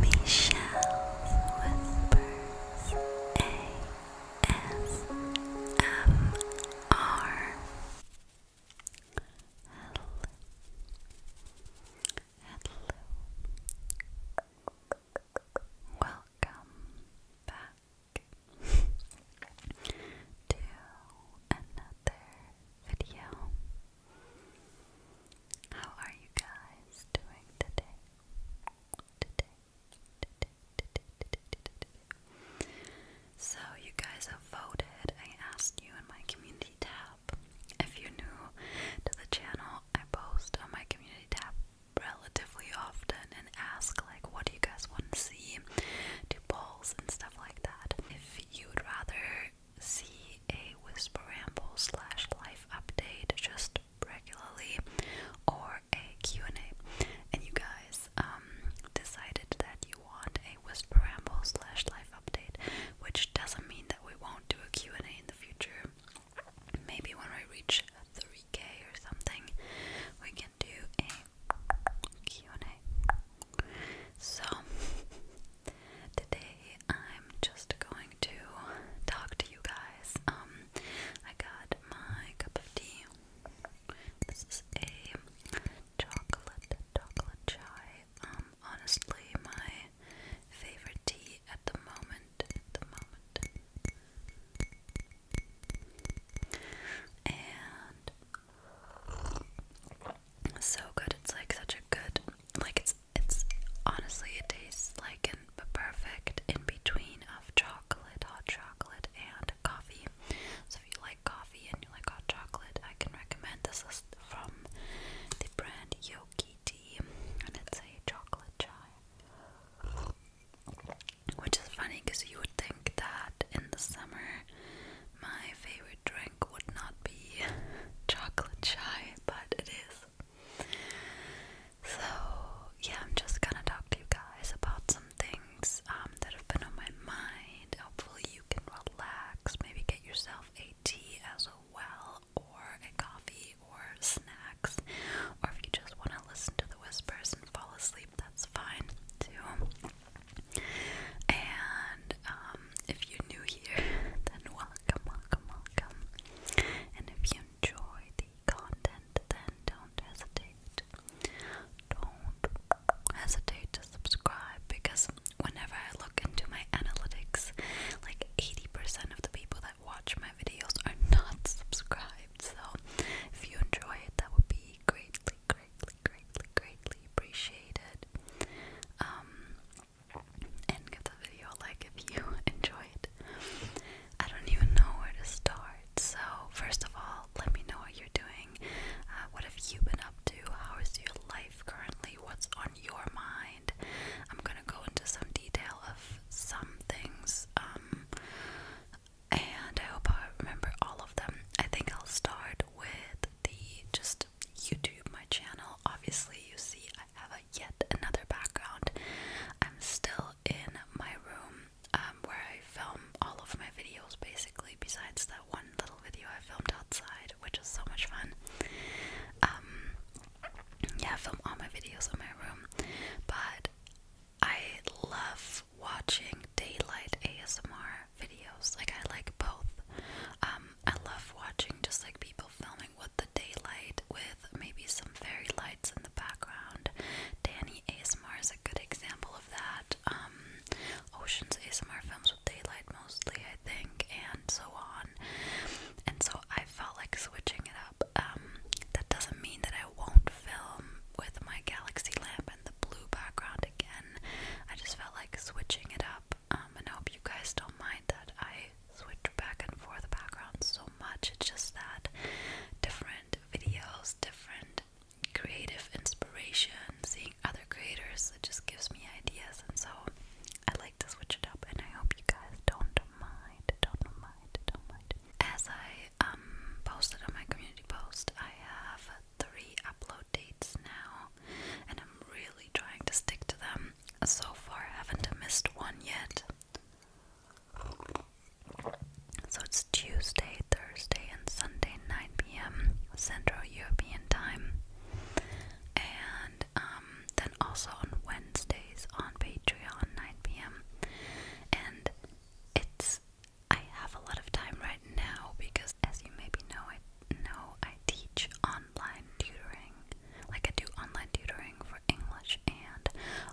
Michelle Whispers ASMR Hello Hello Welcome back to another video how are you guys doing today? Today, today, today, today, today, today. So, you guys have voted. I asked you in my community tab. If you're new to the channel, I post on my community tab relatively often and ask, like, what do you guys want to see? Do polls and stuff like that. If you would rather see a Whisper Ramble slash life update just regularly or a Q&A and you guys um, decided that you want a Whisper Ramble slash life update which doesn't mean that we won't do a Q&A in the future maybe when we reach 3k or something we can do a Q&A so today I'm just going to talk to you guys. Um, I got my cup of tea. This is a chocolate chocolate chai. Um, honestly, my favorite tea at the moment. the moment. And so good. It's like such a good, like it's it's honestly, it tastes like a perfect in between of chocolate, hot chocolate, and coffee. So if you like coffee and you like hot chocolate, I can recommend this is from the brand Yoki Tea, and it's a chocolate chai. Which is funny because you would think that in the summer my favorite drink would not be chocolate chai, but it is. So, yeah, I'm just gonna talk to you guys about some things um, that have been on my mind. Hopefully, you can relax, maybe get yourself a tea as well, or a coffee, or snacks. Or if you just want to listen to the whispers and fall asleep, that's fine too. And um, if you're new here, then welcome, welcome, welcome. And if you enjoy the content, then don't hesitate. Don't hesitate to subscribe because whenever I look into my analytics, like 80% of the people that watch my videos are not subscribed. So if you enjoy it, that would be greatly, greatly, greatly, greatly appreciated. Um, and give the video a like if you enjoyed. I don't even know where to start. So, first of all, let me know what you're doing. Uh, what have you been up to? How is your life currently? What's on your mind? I'm gonna go into some detail of some things, um, and I hope I remember all of them. I think I'll start with the just YouTube, my channel. Obviously, you see I have a yet another background. I'm still in my room um, where I film all of my videos basically, besides that one little video I filmed outside, which is so much fun. Um, yeah, I film all my videos in my room, but I love watching daylight ASMR videos. Like I like both. Um, I love watching just like people filming dealing with the daylight with maybe some fairy lights in the background. Danny ASMR is a good example of that. Um, Ocean's ASMR films with daylight mostly, I think, and so on. And so I felt like switching it up. Um, that doesn't mean that I won't film with my galaxy lamp and the blue background again. I just felt like switching it up. Um, and I hope you guys don't mind that I switch back and forth backgrounds so much. It's just that different videos, different creative inspiration, seeing other creators, it just gives me ideas. And so I like to switch it up, and I hope you guys don't mind. Don't mind. Don't mind. As I um posted on my community post, I have three upload dates now, and I'm really trying to stick to them. So far, I haven't missed one yet. So it's Tuesday, Thursday, and Sunday, 9 p.m. Central European time. And um, then also on Wednesdays on Patreon, 9 p.m. And it's, I have a lot of time right now because, as you maybe know, I know I teach online tutoring. Like I do online tutoring for for English, and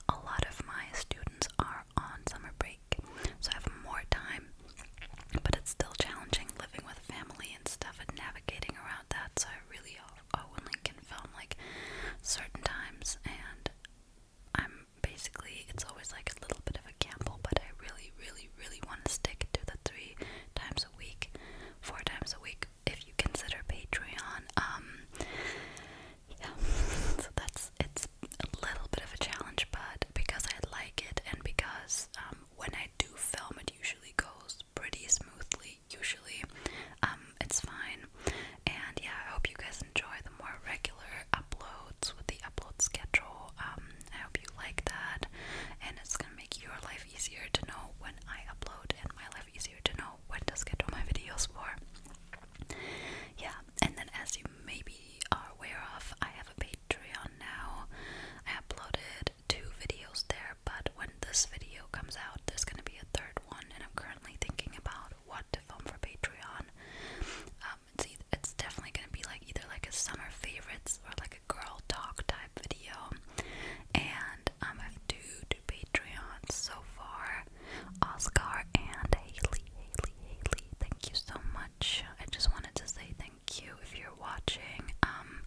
a lot of my students are on summer break, so I have more time. But it's still challenging living with family and stuff and navigating around that, so I really only can film like certain times, and I'm basically it's always like a little bit of a gamble, but I really, really, really want to stick to the three times a week, four times a week if you consider Patreon. Um, yeah, so that's it's a little bit of a challenge, but because I like it and because um, when I do film, it usually goes pretty smoothly. Usually, um, it's fine. And yeah, I hope you guys enjoy the more regular uploads with the upload schedule. Um, I hope you like that, and it's gonna make your life easier to know when I upload and my life easier to know when to schedule my videos for. Yeah, and then as you maybe are aware of, I have a Patreon now. I uploaded two videos there, but when this video comes out, there's gonna be a third one, and I'm currently thinking about what to film for Patreon. Um, it's, it's definitely gonna be like either like a summer favorites or like a girl talk type video, and um, I have two, two Patreons so far, Oscar and Haley, Haley, Haley. Thank you so much. I just wanted to say thank you if you're watching. Um,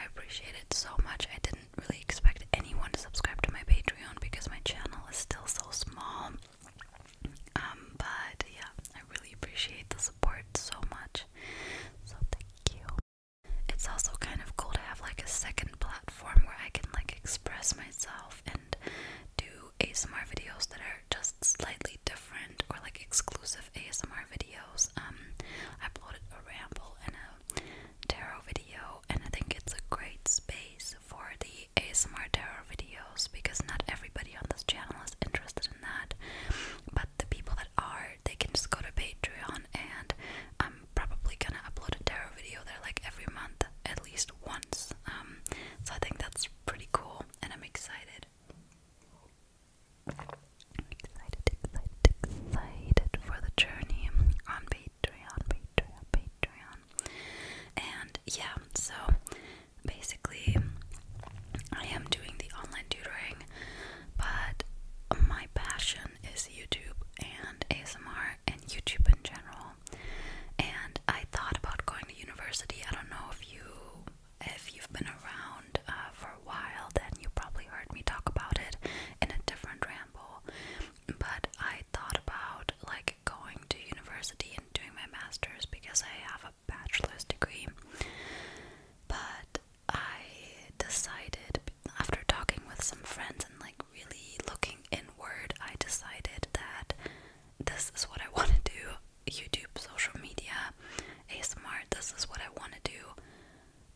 I appreciate it so much. I didn't really expect anyone to subscribe to my Patreon because my channel is still so small. Um, but yeah, I really appreciate the support so much. So thank you. It's also kind of cool to have like a second platform where I can like express myself and do ASMR videos that are just slightly different or like exclusive ASMR videos. Um, I uploaded a ramble and a tarot video, and I think it's a great space for the ASMR tarot videos because not everybody on this channel is interested in that. But the people that are, they can just go to Patreon and um probably gonna upload a tarot video there like every month at least once. Um, so I think that's pretty cool, and I'm excited. Excited, excited, excited for the journey on Patreon, Patreon, Patreon. And yeah, so basically, I am doing the online tutoring, but my passion passion is YouTube and ASMR and YouTube in general. And I thought about going to university. I don't know if you if you've been around uh, for a while, then you probably heard me talk about it in a different ramble. But I thought about like going to university and doing my master's because I have a bachelor's degree. But I decided after talking with some friends and like really looking inward, I decided that this is what I want to do YouTube, social media, ASMR, this is what I want to do.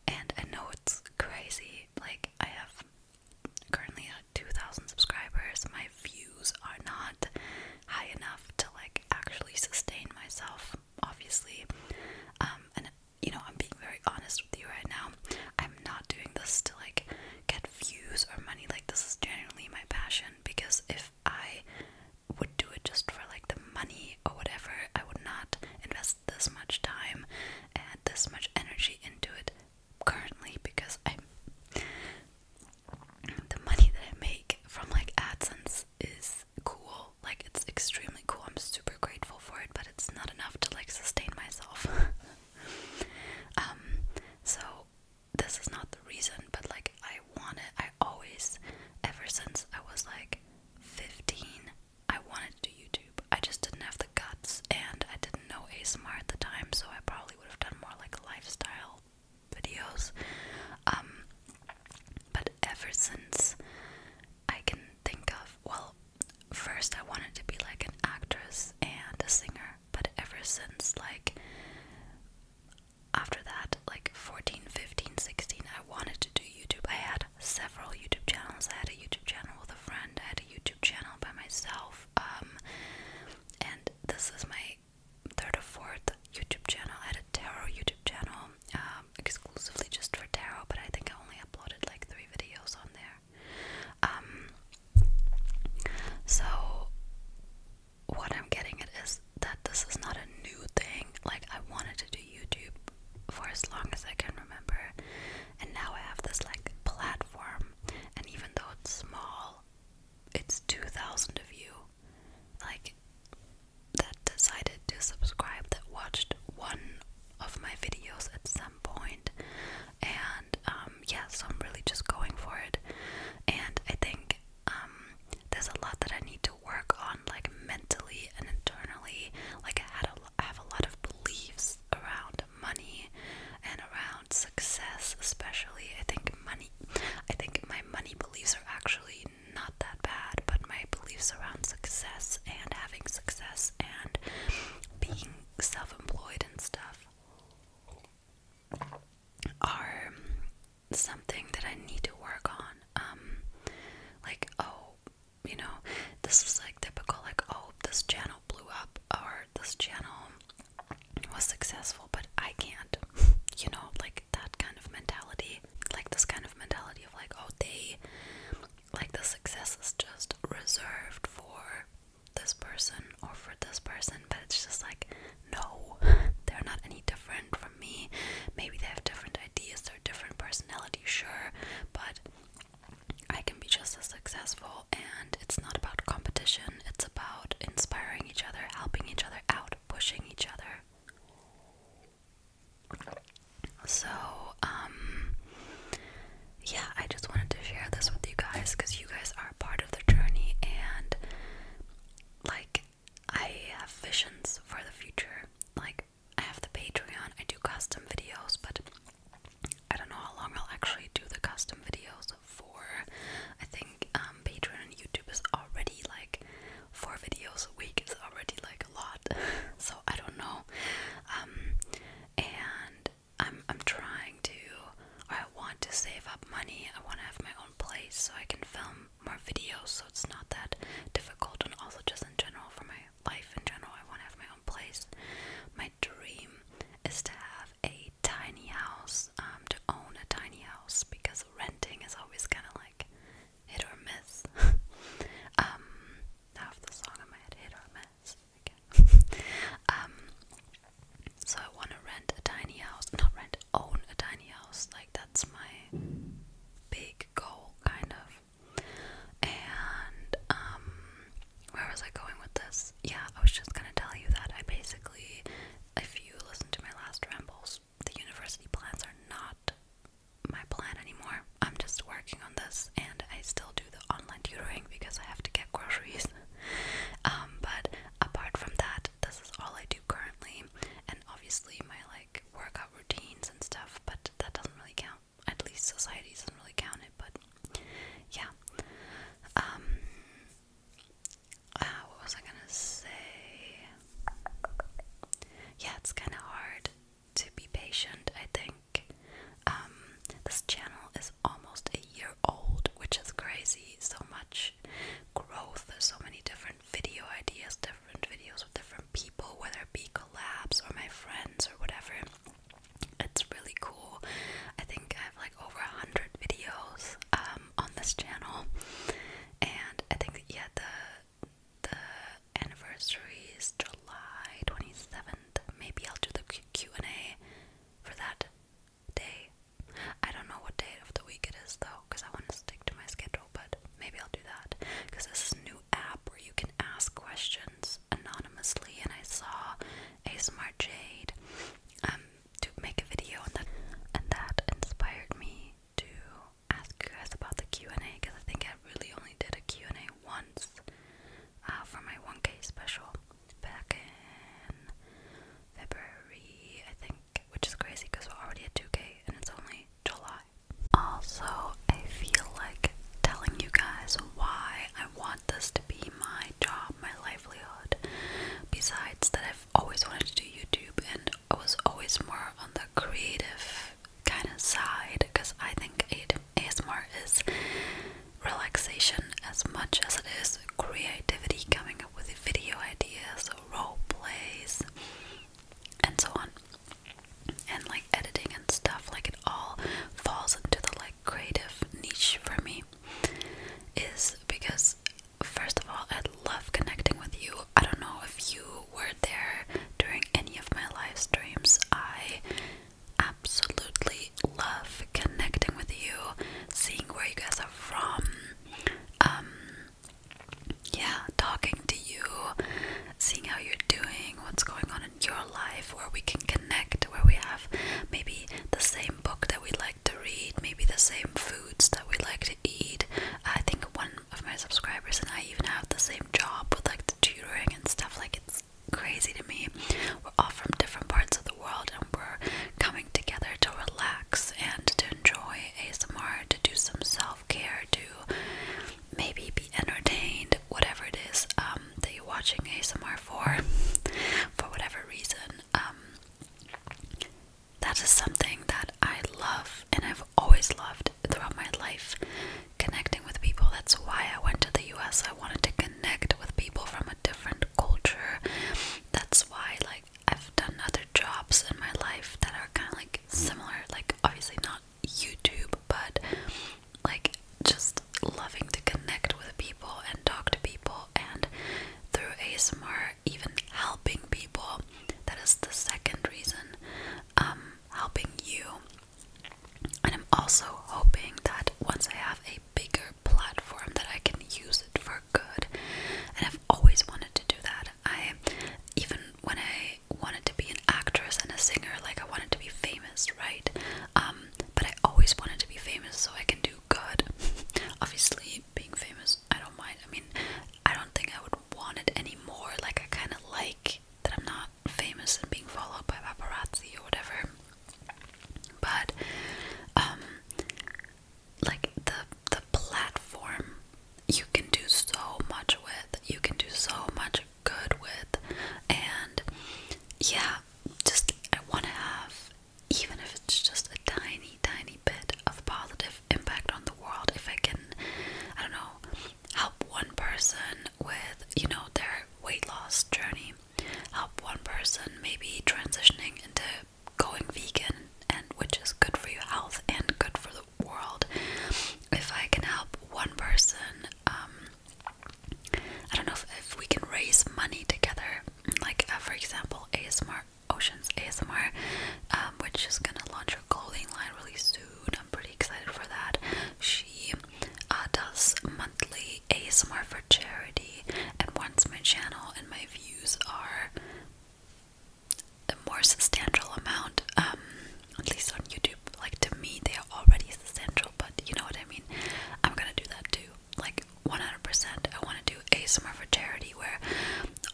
And I know it's crazy. Like, I have currently uh, 2,000 subscribers. My views are not high enough to, like, actually sustain myself, obviously. Um, and you know, I'm being very honest with you right now. I'm not doing this to like get views or money. Like this is genuinely my passion because if I would do it just for like the money or whatever, I would not invest this much time and this much energy into it currently because I'm the money that I make from like AdSense is cool. Like it's extremely cool. I'm super grateful for it, but it's not enough to like sustain myself. um, so this is not the reason, but like I wanted, I always, ever since I was like 15, I wanted to do YouTube. I just didn't have the guts, and I didn't know ASMR at the time, so I probably would have done more like lifestyle videos. Um, but ever since I can think of, well, first I wanted to be like an actress and a singer, but ever since like after that, like 14, 15, 16, I wanted to do YouTube. I had several YouTube channels. I had a YouTube channel with a friend. I had a YouTube channel by myself. Um, and this is my third or fourth YouTube channel. I had a tarot YouTube channel um, exclusively just for tarot, but I think I only uploaded like three videos on there. Um, so, what I'm getting at is that this is not a new thing. Like, I wanted to do YouTube for as long as I can remember, and now I have this like platform, and even though it's small, it's 2,000 of you like that decided to subscribe that watched one of my videos at some point mind. And um, yeah, so I'm really just going for it. And I think um, there's a lot that I need to work on, like mentally and internally. Like I had, a, I have a lot of beliefs around money and around success, especially. I think money. I think my money beliefs are actually not that bad, but my beliefs around success and having success and being self-employed and stuff are something that I need to work on. Um, like oh, you know, this is like typical. Like oh, this channel blew up or this channel was successful, but I can't. You know, like that kind of mentality. Like this kind of mentality of like oh they, like the success is just reserved for this person or for this person, but it's just like, no, they're not any different from me. Maybe they have different ideas, they're different personality, sure, but I can be just as successful. And it's not about competition, it's about inspiring each other, helping each other out, pushing each other. So, um, yeah, I just wanted to share this with you guys because you guys are part of the journey, and like, I have visions for the future. Like, I have the Patreon, I do custom videos, but I don't know how long I'll actually do the custom videos for. I think um, Patreon and YouTube is already like four videos a week It's already like a lot, so I don't know. Um, and I'm I'm trying to or I want to save up money. I want to have my own place so I can film more videos so it's not that difficult and also just in general for my life in general I want to have my own place. My dream is to have a tiny house, um to own a tiny house because renting is always kind of like hit or miss. um half the song in my hit or miss. Um, so I want to rent a tiny house, not rent, own a tiny house. Like that's my big goal, kind of. And um, where was I going with this? Yeah, I was just gonna tell you that I basically, if you listen to my last rambles, the university plans are not my plan anymore. I'm just working on this, and I still do online tutoring because I have to get groceries. Um, but apart from that, this is all I do currently, and obviously my like workout routines and stuff. But that doesn't really count. At least society doesn't really count it. But yeah. Um, uh, what was I gonna say? Yeah, it's kind of hard to be patient. I think um, this channel is almost a year old, which is crazy. So much growth, there's so many different video ideas, different videos with different people, whether it be collabs or my friends or whatever. It's really cool. I think I have like over a hundred videos um, on this channel, and I think yeah the the anniversary is July twenty seventh. Maybe I'll do the Q and A for that day. I don't know what day of the week it is though, because I want to stick to my schedule, but maybe I'll do that. Because this is a new app where you can ask questions anonymously, and I saw a smart jade um to make a video on that, and that inspired me to ask you guys about the Q&A because I think I really only did a Q&A once uh, for my 1K special back in February, I think, which is crazy because we're already at 2K and it's only July. Also, I feel like telling you guys why I want this to be my job, my livelihood. Besides that, I've always wanted to do YouTube and I was always more on the creative kind of side because I think it that ASMR is relaxation as much as it is creativity, coming up with video ideas, role plays, and so on. And like editing and stuff, like it all falls into the like creative niche for me. Is because first of all, I love connecting with you. I don't know if you were there during any of my live streams. I absolutely love connecting with you, seeing where you guys are from, um, yeah, talking to you, seeing how you're doing, what's going on in your life, where we can connect, where we have maybe the same book that we like to read, maybe the same foods that we like to eat. I think one of my subscribers and I even have the same job with like tutoring and stuff. Like it's crazy to me. We're all from different parts of the world and we're coming together to relax and to enjoy ASMR, to do some self care, to maybe be entertained, whatever it is um, that you're watching ASMR for, for whatever reason. Um, that is something that I love and I've always loved throughout my life connecting with people. That's why I went to the US. I wanted to connect with people from a different culture. That's why like I've done other jobs in my life that are kind of like similar, like obviously not YouTube, but like just loving to connect with people and talk to people and through ASMR even helping people. That is the second reason. Um helping you. And I'm also hoping that once I have a bigger platform that I can use it for good. And I've always wanted to do that. I even when I wanted to be an actress and a singer, like I wanted to be famous, right? Um, but I always wanted to be famous so I can do good. Obviously, being famous, I don't mind. I mean, I don't think I would want it anymore. Like I kind of like that I'm not famous and being followed by paparazzi or whatever. But um, like the the platform you can do so much with. You can do so much good with and yeah, just I wanna have even if it's just a tiny, tiny bit of positive impact on the world, if I can, I don't know, help one person with, you know, their weight loss journey, help one person maybe transitioning into going vegan and which is good for your health and good for the world if i can help one person um, i don't know if, we can raise money together like uh, for example asmr oceans asmr um, which is gonna launch a clothing line really soon i'm pretty excited for that she uh, does monthly I ASMR for charity, and once my channel and my views are a more substantial amount, um, at least on YouTube, like to me they are already substantial, but you know what I mean? I'm gonna do that too. Like 100%, I wanna do ASMR for charity where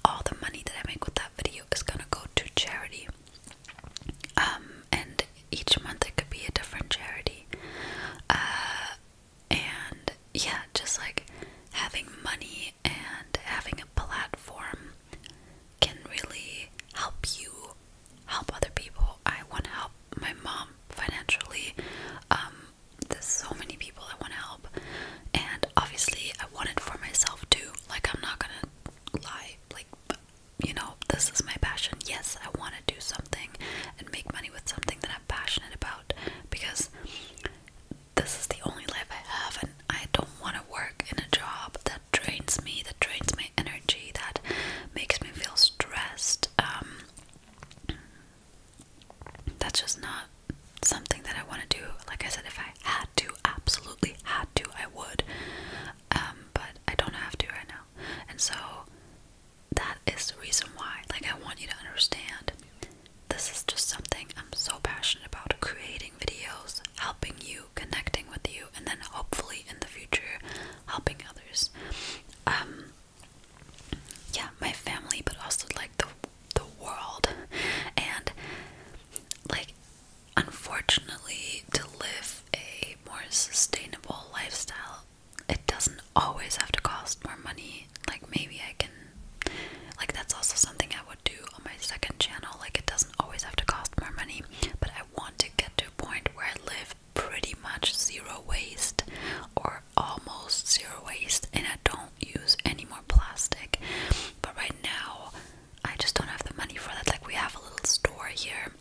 all the money that I make with that video is gonna go to charity. Um, and each month it could be a different charity. Uh, and yeah, just like having money and having a platform can really help you help other people. I want to help my mom financially. Um, there's so many people I want to help, and obviously, I want it for myself too. Like, I'm not gonna lie, like, you know, this is my passion. Yes, I want to do something and make money with something that I'm passionate about because this is the only life I have, and I don't want to work in a job that drains me, that drains my energy, that makes me feel stressed. Um, that's just not something that I want to do. Like I said, if I had to, absolutely had to, I would. Um, but I don't have to right now, and so that is the reason why. Like, I want you to understand this is just something I'm so passionate about creating videos, helping you, connecting with you, and then hopefully in the future, helping others. Um, yeah, my family, but also like the the world, and like unfortunately, to live a more sustainable lifestyle, it doesn't always have to cost more money. Like, maybe I can, like, that's also something I would do on my second channel. Like, it doesn't always have to cost more money, but I want to get to a point where I live pretty much zero waste or almost zero waste, and I don't use any more plastic. But right now, I just don't have the money for that. Like, we have a little store here.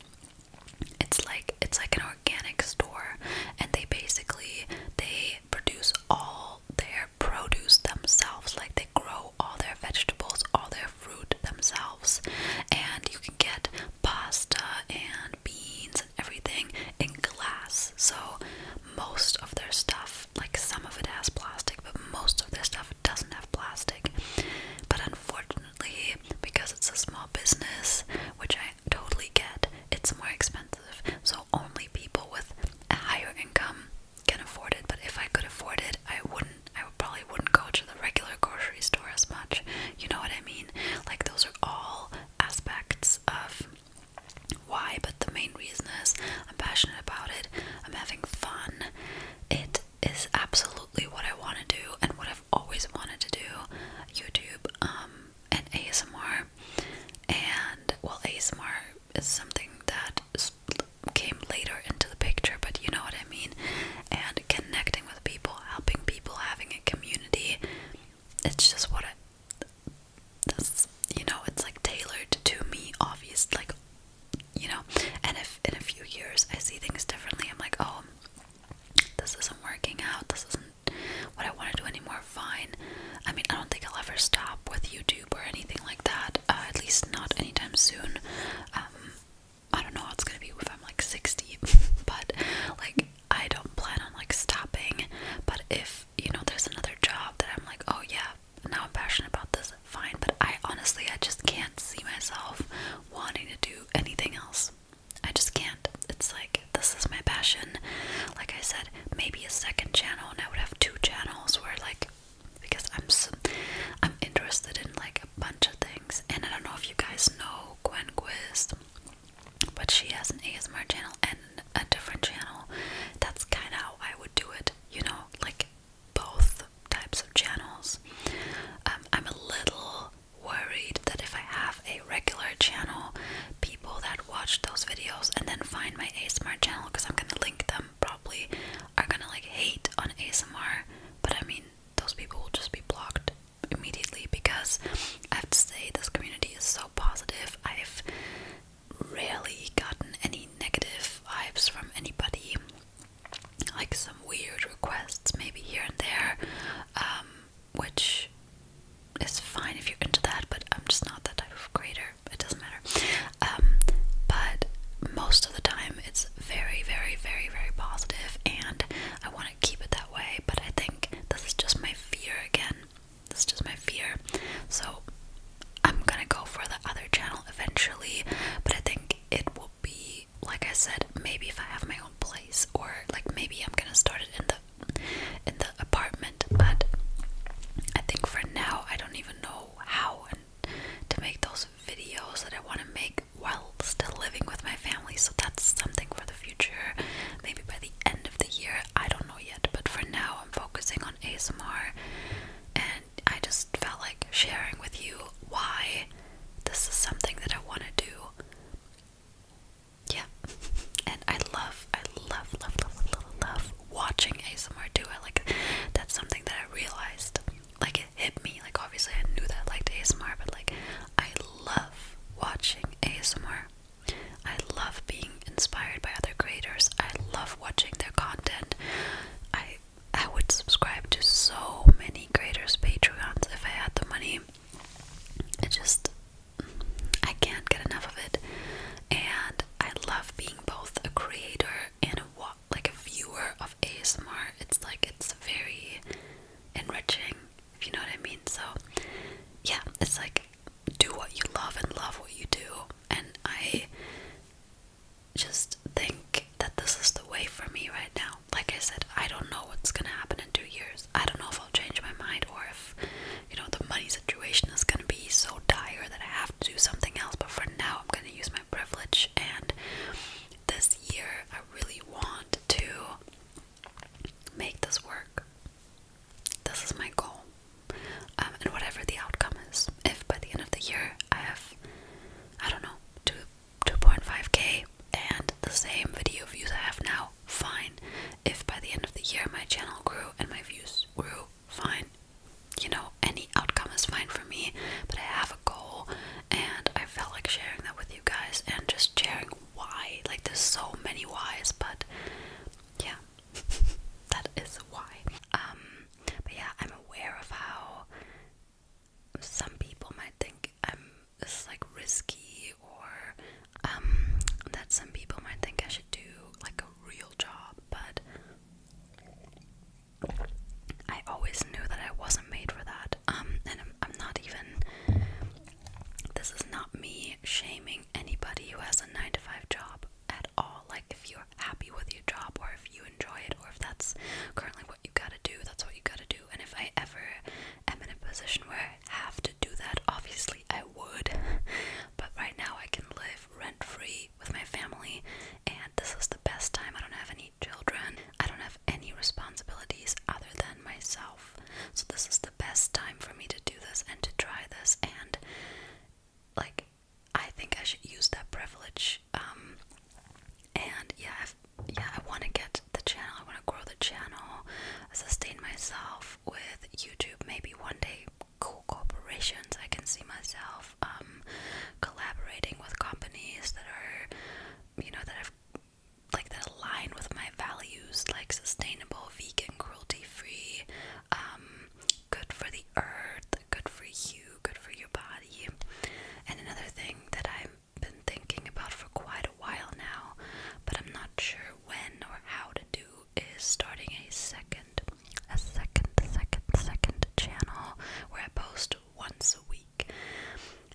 It's like it's like an organic store and they basically they produce all their produce themselves like they grow all their vegetables all their fruit themselves and you can get pasta and beans and everything in glass so most of their stuff like some of it has plastic but most of their stuff doesn't have plastic but unfortunately because it's a small business which I totally get it's more expensive, so only people with a higher income can afford it. But if I could afford it, I wouldn't. I would probably wouldn't go to the regular grocery store as much. You know what I mean? Like those are all aspects of why. But the main reason is I'm passionate about it. I'm having fun. It is absolutely what I want to do and what I've always wanted to do. YouTube. Um, and ASMR, and well, ASMR is something that came later into the picture, but you know what I mean. And connecting with people, helping people, having a community, it's just what I, you know, it's like tailored to me, obviously. like you know. And if in a few years I see things differently, I'm like, oh. This isn't working out, this isn't what I want to do anymore, fine. I mean, I don't think I'll ever stop with YouTube or anything like that, uh, at least not anytime soon. Um, I don't know how it's gonna be if I'm like 60, but like I don't plan on like stopping. But if you know, there's another job that I'm like, oh yeah, now I'm passionate about this, fine. But I honestly, I just can't see myself wanting to do anything else. I just can't. It's like this is my passion. Like I said, maybe a second channel, and I would have two channels where like because I'm I'm interested in like a bunch of things, and I don't know if you guys know Gwen Quist, but she has an ASMR channel and a different channel. That's kind of how I would do it, you know, like both types of channels. Um, I'm a little worried that if I have a regular channel, people that watch those videos and then find my ASMR channel because I'm gonna link them probably are gonna like hate on ASMR, but I mean those people will just be blocked immediately because I have to say this community is so positive. I've rarely gotten any negative vibes from anybody. Like some weird requests, maybe here and there, um, which is fine if you're into that, but I'm just not that type of creator. It doesn't matter. Um, but most of the time, it's very, very, very, very positive, and I want to keep it that way. But I think this is just my fear again. This is just my fear. So I'm gonna go for the other channel eventually, but I think it will be, like I said, maybe if I have my own place, or like maybe I'm gonna start it in the in the apartment, but I think for now I don't even know how to make those videos that I want to make while still living with my family. So that's something for the future, maybe by the end of the year. I don't know yet, but for now I'm focusing on ASMR and I just felt like sharing with you why this is something that I want to do yeah, and I love, I love, love, love, love, love watching ASMR too. I like that's something that I realized, like it hit me. Like obviously I knew that I liked ASMR, but like I love watching ASMR. I love being inspired by other creators. I love watching their content. I I would subscribe to so many creators' Patreons if I had the money. It just I can't get enough of it, and I love being both a creator and a like a viewer of ASMR. It's like it's very enriching, if you know what I mean. So yeah, it's like do what you love and love what you do, and I just think that this is the way for me right now. Like I said, I don't know what's gonna happen in two years. I don't know if I'll change my mind or if you know the money situation is going to be so dire that I have to do something else. But for now, I'm going to use my privilege. And this year, I really want to make this work. This is my goal. Um, and whatever the outcome is, if by the end of the year I have, I don't know, two, 2.5k and the same video views I have now, fine. If by the end of the year my channel grew and my views grew, fine. You know, any outcome is fine for me, but I have a goal and I felt like sharing that with you guys and just sharing why. Like, there's so many whys, but yeah, that is why. Um, but yeah, I'm aware of how some people might think I'm this is like risky or um, that some people might think I should do like a real job, but I always knew that I wasn't made for that. Um, and I'm, I'm not even, this is not me shaming anybody who has a 9 to 5 job at all. Like, if you're happy with your job, or if you enjoy it, or if that's currently what you gotta do, that's what you gotta do. And if I ever am in a position where I have to do that, obviously I would. But right now I can live rent free with my family, and this is the best time. I don't have any children, I don't have any responsibilities other than myself. So, this is the best time for me to do this and to try this. And, like, I think I should use that privilege. Um, and yeah, i yeah, I want to get the channel, I want to grow the channel, sustain myself with YouTube. Maybe one day, cool corporations. I can see myself um, collaborating with companies that are, you know, that have like that align with my values, like sustainable, vegan, cruelty-free, um, good for the earth, good for you, good for your body. And another thing that I've been thinking about for quite a while now, but I'm not sure when or how to do is starting a second, a second, second, second channel where I post once a week.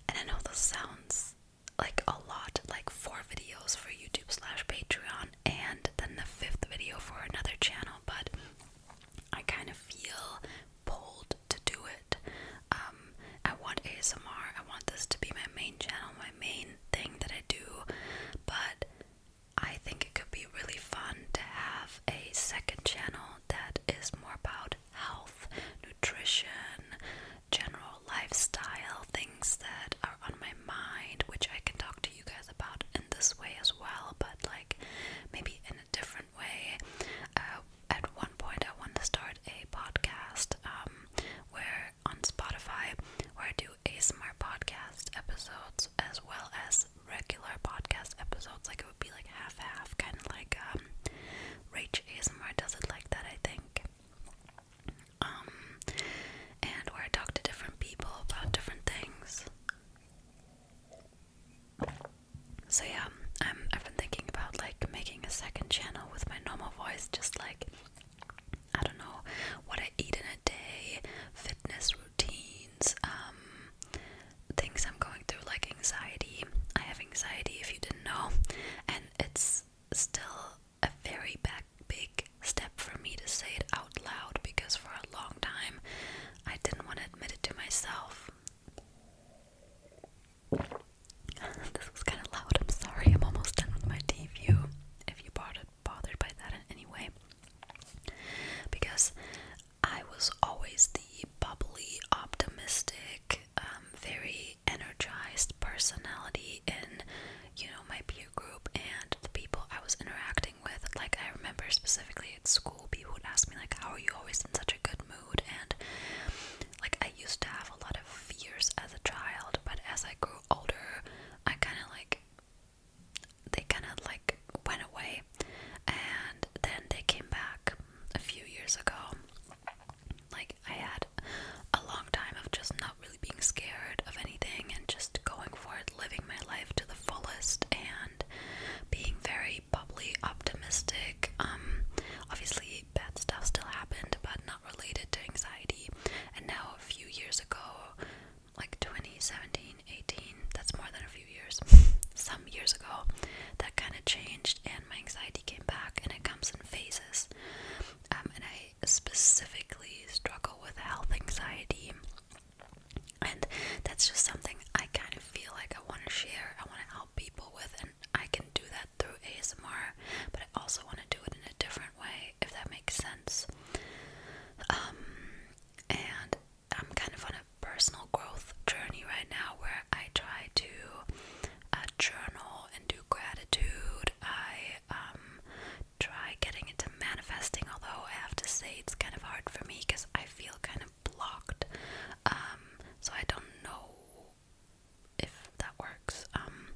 And I know this sounds like a lot, like four videos for YouTube slash Patreon, and then the fifth video for another channel, but I kind of feel pulled to do it. Um, I want ASMR, I want this to be my main channel, my main thing that I do, but I think it could be really fun to have a second channel that is more about health, nutrition, general lifestyle, things that are on my mind, which I can talk to you guys about in this way as well, but like maybe in a different way. Uh, at one point, I want to start a podcast um, where on Spotify, where I do ASMR podcast episodes as well as regular podcast episodes. Like it would be like half half, kind of like um, Rach ASMR does it like that, I think. Um, and where I talk to different people about different things. So yeah, I'm um, I've been thinking about like making a second channel with my normal voice, just like I don't know what I eat in a day, fitness routines, um, things I'm going through like anxiety. I have anxiety if you didn't know, and it's still a very big step for me to say it out loud because for a long time I didn't want to admit it to myself. this was kind of loud. I'm sorry. I'm almost done with my tea If you bought it, bothered by that in any way because I was always the bubbly, optimistic, um, very energized personality in you know my peer group and the people I was interacting with. Like I remember specifically at school, people would ask me like, "How are you always in such a good mood?" and like I used to have a lot of fears as a child, but as I grew older, I kind of like they kind of like went away and then they came back a few years ago. Like, I had a long time of just not really being scared of anything and just going for it, living my life to the fullest, and being very bubbly, optimistic. Um, obviously, bad stuff still happened, but not related to anxiety. And now, a few years ago, like 2017, 18, that's more than a few years, some years ago, that kind of changed and my anxiety came back and it comes in phases. Um, and I specifically struggle with health anxiety. And that's just something I kind of feel like I want to share, I want to help people with, and I can do that through ASMR, but I also want to do it in a different way, if that makes sense. Um, and I'm kind of on a personal growth journey right now where I try to uh, journal and do gratitude. I um, try getting into manifesting, although I have to say it's kind of hard for me because I feel kind of blocked. Um, so I don't know if that works. Um,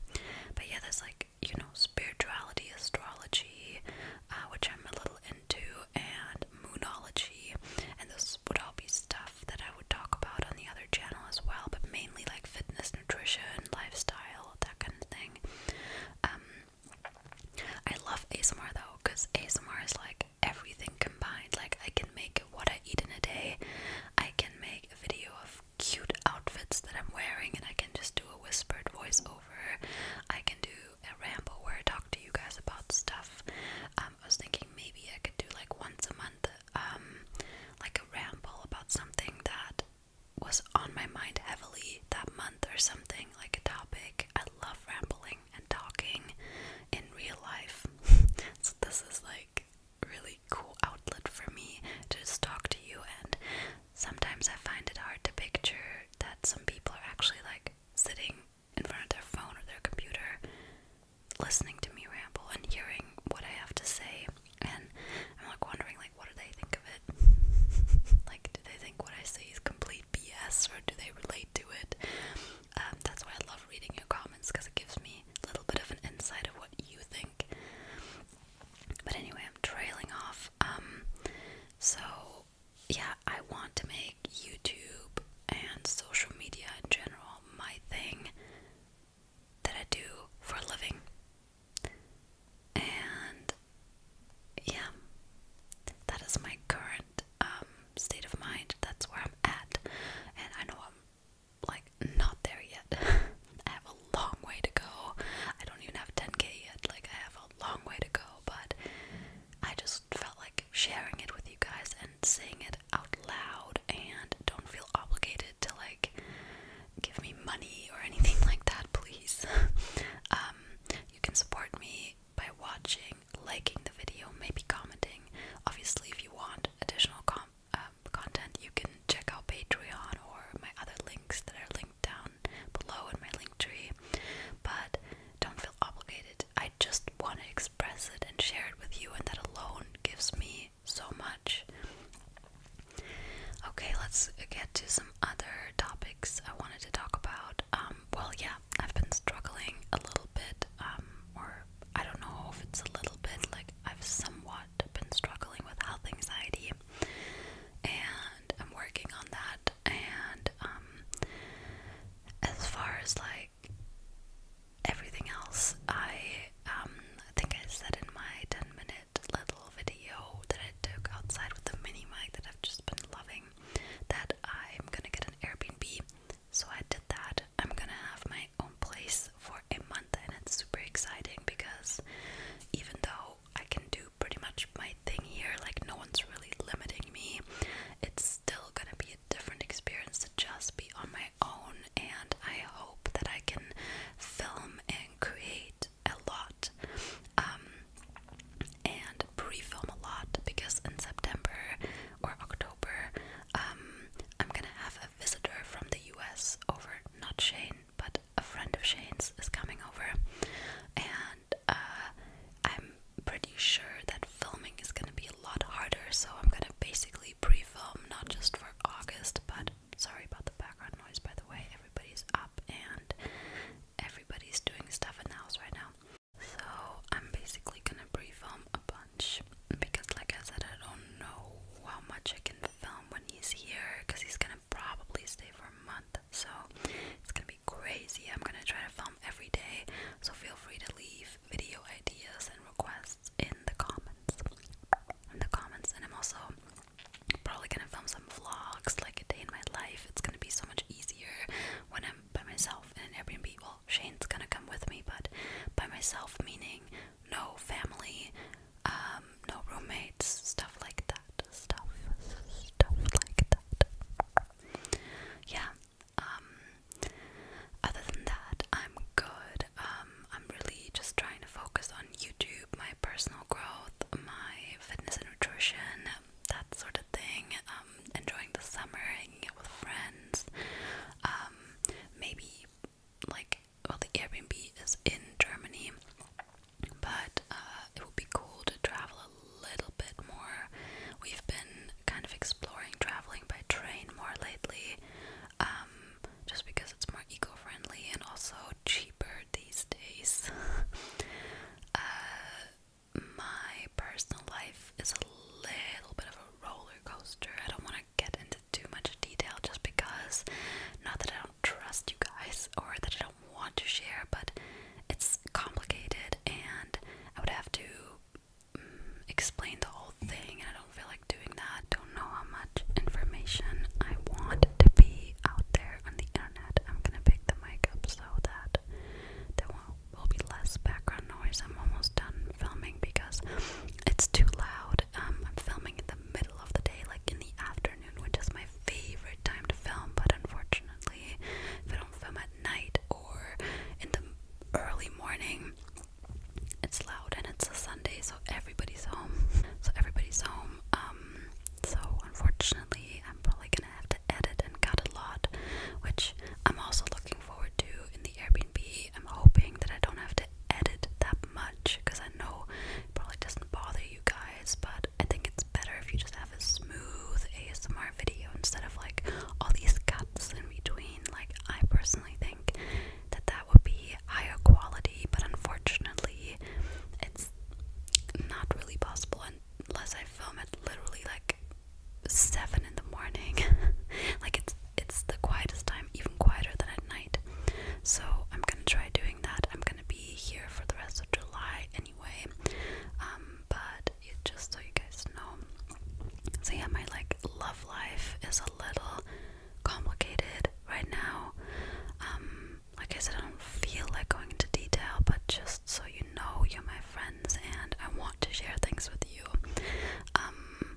but yeah, there's like you know, spirituality, astrology, uh, which I'm a little into, and moonology. And this would all be stuff that I would talk about on the other channel as well, but mainly like fitness, nutrition, lifestyle, that kind of thing. Um, I love ASMR though, because ASMR is like everything combined. Like, I can make what I eat in a day, I can make a video of cute outfits that I'm wearing, and I can just do a whispered voiceover I can do a ramble where I talk to you guys about stuff. Um, I was thinking maybe I could do like once a month, um, like a ramble about something that was on my mind heavily that month or something, like a topic. I love rambling and talking in real life. so this is like really cool outlet for me to just talk to you and sometimes I find it hard to picture that some people are actually like sitting in front of their phone or their computer listening to me ramble and hearing what I have to say and I'm like wondering like what do they think of it? like do they think what I say is complete BS or do they relate to it? Um, that's why I love reading your comments because it gives me a little bit of an insight of what you think. But anyway, I'm trailing off. Um, so yeah, I want to make YouTube and social media in general my thing that I do for a living. And yeah, that is my current um, state of mind. That's where I'm at. And I know I'm like not there yet. I have a long way to go. I don't even have 10k yet. Like, I have long way to go, but I just felt like sharing it with you guys and saying it out loud and don't feel obligated to like give me money or anything like that, please. Um, you can support me by watching, liking the video, maybe commenting. Obviously, if you want additional com uh, content, you can check out Patreon or my other links that are linked down below in my link tree. But don't feel obligated. I just want to express it and share it with you, and that alone gives me so much. Okay, let's get to some other topics I wanted to talk about. Um, well, yeah, I've been struggling a little bit, um, or I don't know if it's a little bit, like I've somewhat been struggling with health anxiety. And I'm working on that. And um, as far as like everything else, I um, I think I said in my 10 minute little video that I took outside with the mini mic that I've just been loving that I'm gonna get an Airbnb. So I did that. I'm gonna have my own place for a month, and it's super exciting because even though I can do pretty much my thing here. Like, no one's really limiting me. It's still gonna be a different experience to just be on my own, and I hope that I can film and create a lot um, and pre film a lot because in September or October, um, I'm gonna have a visitor from the US over, not Shane, but a friend of Shane's is coming over. And uh, I'm pretty sure that filming is gonna be a lot harder, so I'm gonna basically pre film not just for August, but sorry about the background noise by the way, everybody's up and everybody's doing stuff in the house right now. So I'm basically gonna pre film a bunch because, like I said, I don't know how much I can film when he's here because he's gonna probably stay for a month, so it's gonna be crazy. I'm gonna try to film every day, so feel free to leave video ideas and requests in the comments. In the comments, and I'm also probably gonna film some vlogs, like a day in my life. It's gonna be so much easier when I'm by myself in an Airbnb. Well, Shane's gonna come with me, but by myself, meaning no family, um, no roommates, stuff like that. Stuff, stuff like that. Yeah. Um, other than that, I'm good. Um, I'm really just trying to focus on YouTube, my personal growth, my fitness and nutrition, that sort of thing. Um, enjoying the summer, hanging out with friends. maybe like well the Airbnb is in Germany but uh, it would be cool to travel a little bit more. We've been kind of exploring traveling by train more lately, um, just because it's more eco friendly and also cheaper these days. uh, my personal life is a little bit of a roller coaster. I don't want to get into too much detail just because, not that I don't trust you guys or that I don't do want to share, but it's complicated and I would have to mm, explain the whole thing, and I don't feel like doing that. Don't know how much information I want to be out there on the internet. I'm gonna pick the mic up so that there will, will be less background noise. I'm almost done filming because it's too loud. Um, I'm filming in the middle of the day, like in the afternoon which is my favorite time to film, but unfortunately, if I don't film at night or in the early morning, it's loud and it's a Sunday, so everybody's home. So everybody's home. Um, so unfortunately, I'm probably gonna have to edit and cut a lot, which I'm also looking forward to in the Airbnb. I'm hoping that I don't have to edit that much because I know it probably doesn't bother you guys but I think it's better if you just have a smooth ASMR video instead of like all these cuts in between. Like, I personally think that that would be higher quality, but unfortunately, it's not really possible unless I film at literally like seven in the morning. like, it's it's the quietest time, even quieter than at night. So I'm gonna try doing that. I'm gonna be here for the rest of July. And anyway. Um, but just so you guys know. So yeah, my like love life is a little complicated right now. Um, like I said, I don't feel like going into detail, but just so you know, you're my friends, and I want to share things with you. Um,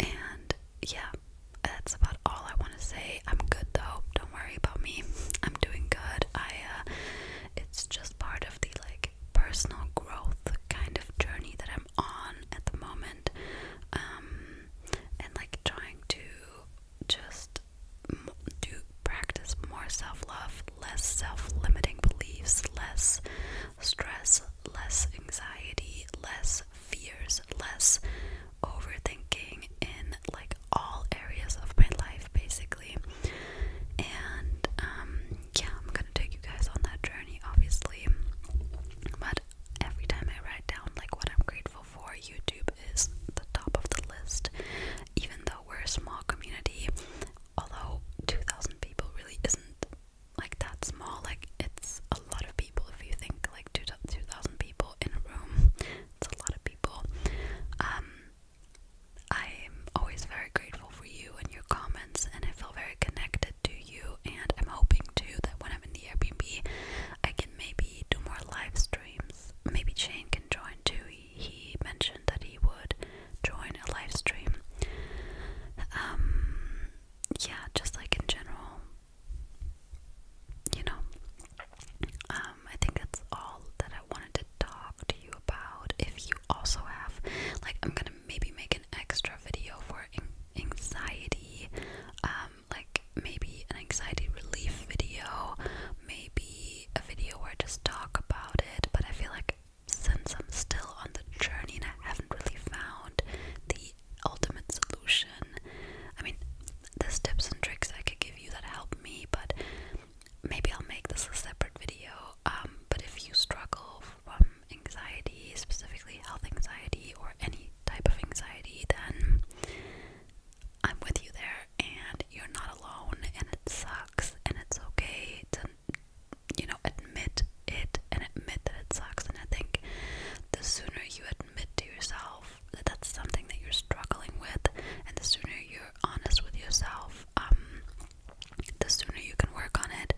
and yeah, that's about all I want to say. I'm good though. Don't worry about me. I'm doing good. I uh, it's just part of the like personal growth kind of journey that I'm on at the moment. Um, and like trying to just do practice more self love, less self limiting beliefs, less stress, less anxiety, less fears, less overthinking, in like all areas of my life basically. And um, yeah, I'm gonna take you guys on that journey obviously. But every time I write down like what I'm grateful for, YouTube is the top of the list. Even though we're a small community, although 2,000 people really isn't like that small, like it's a lot of people. If you think like 2,000 people in a room, it's a lot of people. Um, I'm always very grateful for you and your comments, and I feel very connected to you. And I'm hoping too that when I'm in the Airbnb, I can maybe do more live streams. Maybe Shane can join too. He mentioned that he would join a live stream. Um, yeah, just like in general, you know. Um, I think that's all that I wanted to talk to you about if you also have like I'm gonna maybe make an extra video for anxiety um like maybe an anxiety relief video maybe a video where I just talk about it but I feel like since I'm still on the journey and I haven't really found the ultimate solution I mean there's tips and tricks I could give you that help me but maybe I'll make this a separate video. Um, but if you struggle from anxiety, specifically health anxiety or any type of anxiety, then I'm with you there, and you're not alone, and it sucks, and it's okay to, you know, admit it and admit that it sucks. And I think the sooner you admit to yourself that that's something that you're struggling with, and the sooner you honest with yourself, um, the sooner you can work on it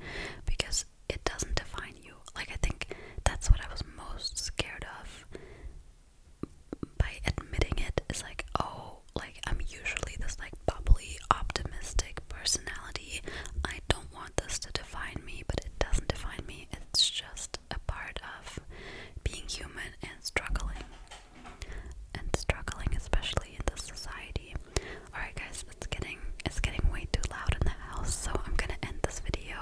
because it doesn't define you. Like, I think that's what I was most scared of by admitting it is like, oh, like I'm usually this like bubbly, optimistic personality. I don't want this to define me, but it doesn't define me. It's just a part of being human and struggling and struggling, especially in this society. Alright guys, it's getting it's getting way too loud in the house, so I'm gonna end this video.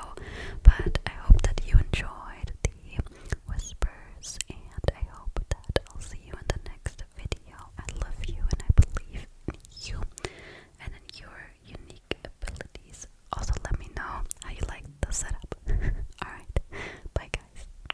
But I hope that you enjoyed the whispers and I hope that I'll see you in the next video. I love you and I believe in you and in your unique abilities. Also let me know how you like the setup. Alright. Bye guys.